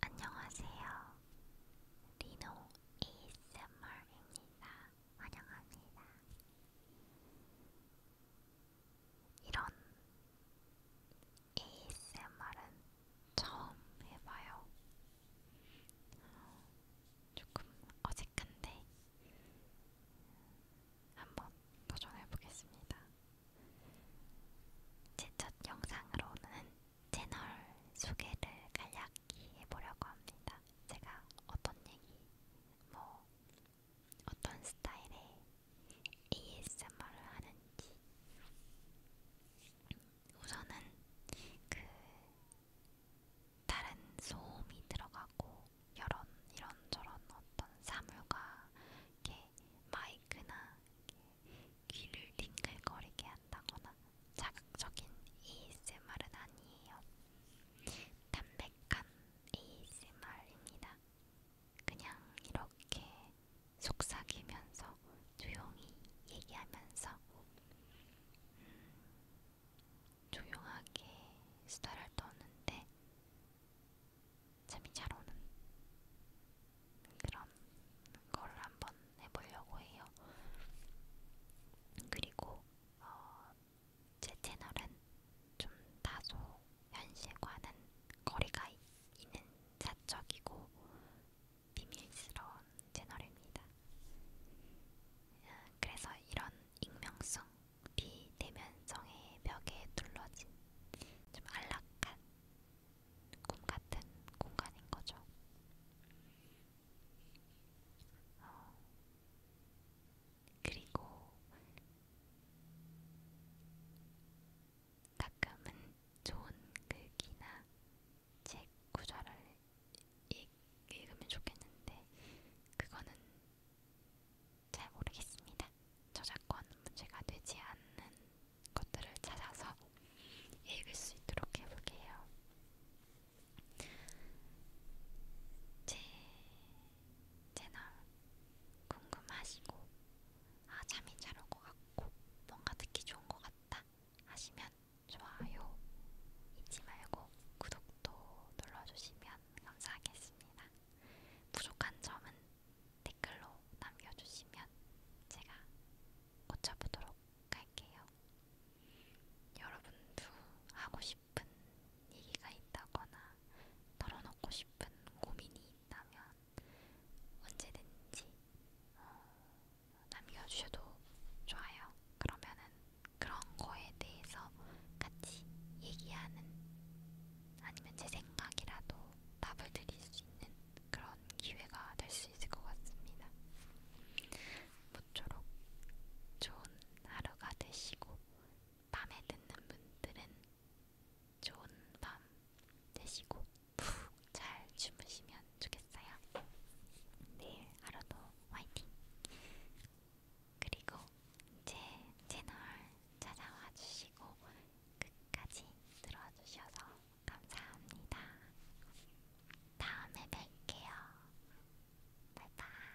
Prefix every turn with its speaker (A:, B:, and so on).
A: 안녕하세요. 리노 ASMR입니다. 환영합니다. 이런 ASMR은 처음 해봐요. 조금 어색한데 한번 도전해 보겠습니다. 제 첫 영상으로는 채널 소개를 간략히 해보려고 합니다. 제가 어떤 얘기, 뭐 어떤 스타일의 ASMR을 하는지 우선은 그 다른 소음이 들어가고 여런 이런저런 어떤 사물과 이렇게 마이크나 이렇게 귀를 링글거리게 한다거나 자극적인 ASMR은 아니에요. 담백한 ASMR입니다. 그냥 이렇게 속삭이면서 조용히 얘기하면서 음, 조용하게 수다를 떠는데 잠이 잘 오는 그런 걸 한번 해보려고 해요. 그리고 어, 제 채널은 좀 다소 현실과는 거리가 있는 사적이고 비밀스러운 채널입니다. 음, 그래서 이런 익명성, 비대면성의 벽에 둘러진 좀 안락한 꿈같은 공간인 거죠. 어, 그리고 가끔은 좋은 글귀나 책 구절을 읽, 읽으면 좋겠는데 그거는 잘 모르겠습니다. 저작권 문제가 되지 않는 것들을 찾아서 읽을 수 있도록 해볼게요. 제 채널 궁금하시고 아 잠이 잘 올 것 같고 뭔가 듣기 좋은 것 같다 하시면 좋아요 잊지 말고 구독도 눌러주시면 감사하겠습니다. 부족한 점은 댓글로 남겨주시면 제가 고쳐보도록 할게요. 여러분도 하고 싶은 얘기가 있다거나 털어놓고 싶은 고민이 있다면 언제든지 어, 남겨주셔도 좋아요. 그러면은 그런 거에 대해서 같이 얘기하는 아니면 제 생각이라도 답을 드릴 수 있는 그런 기회가 될 수 있을 것 같습니다. 모쪼록 좋은 하루가 되시고 밤에 듣는 분들은 좋은 밤 되시고 푹잘 주무시면 좋겠어요. 내일 네, 하루도 화이팅! 그리고 제 채널 찾아와 주시고 끝까지 들어주셔서 감사합니다. 다음에 뵐게요. 바이바이.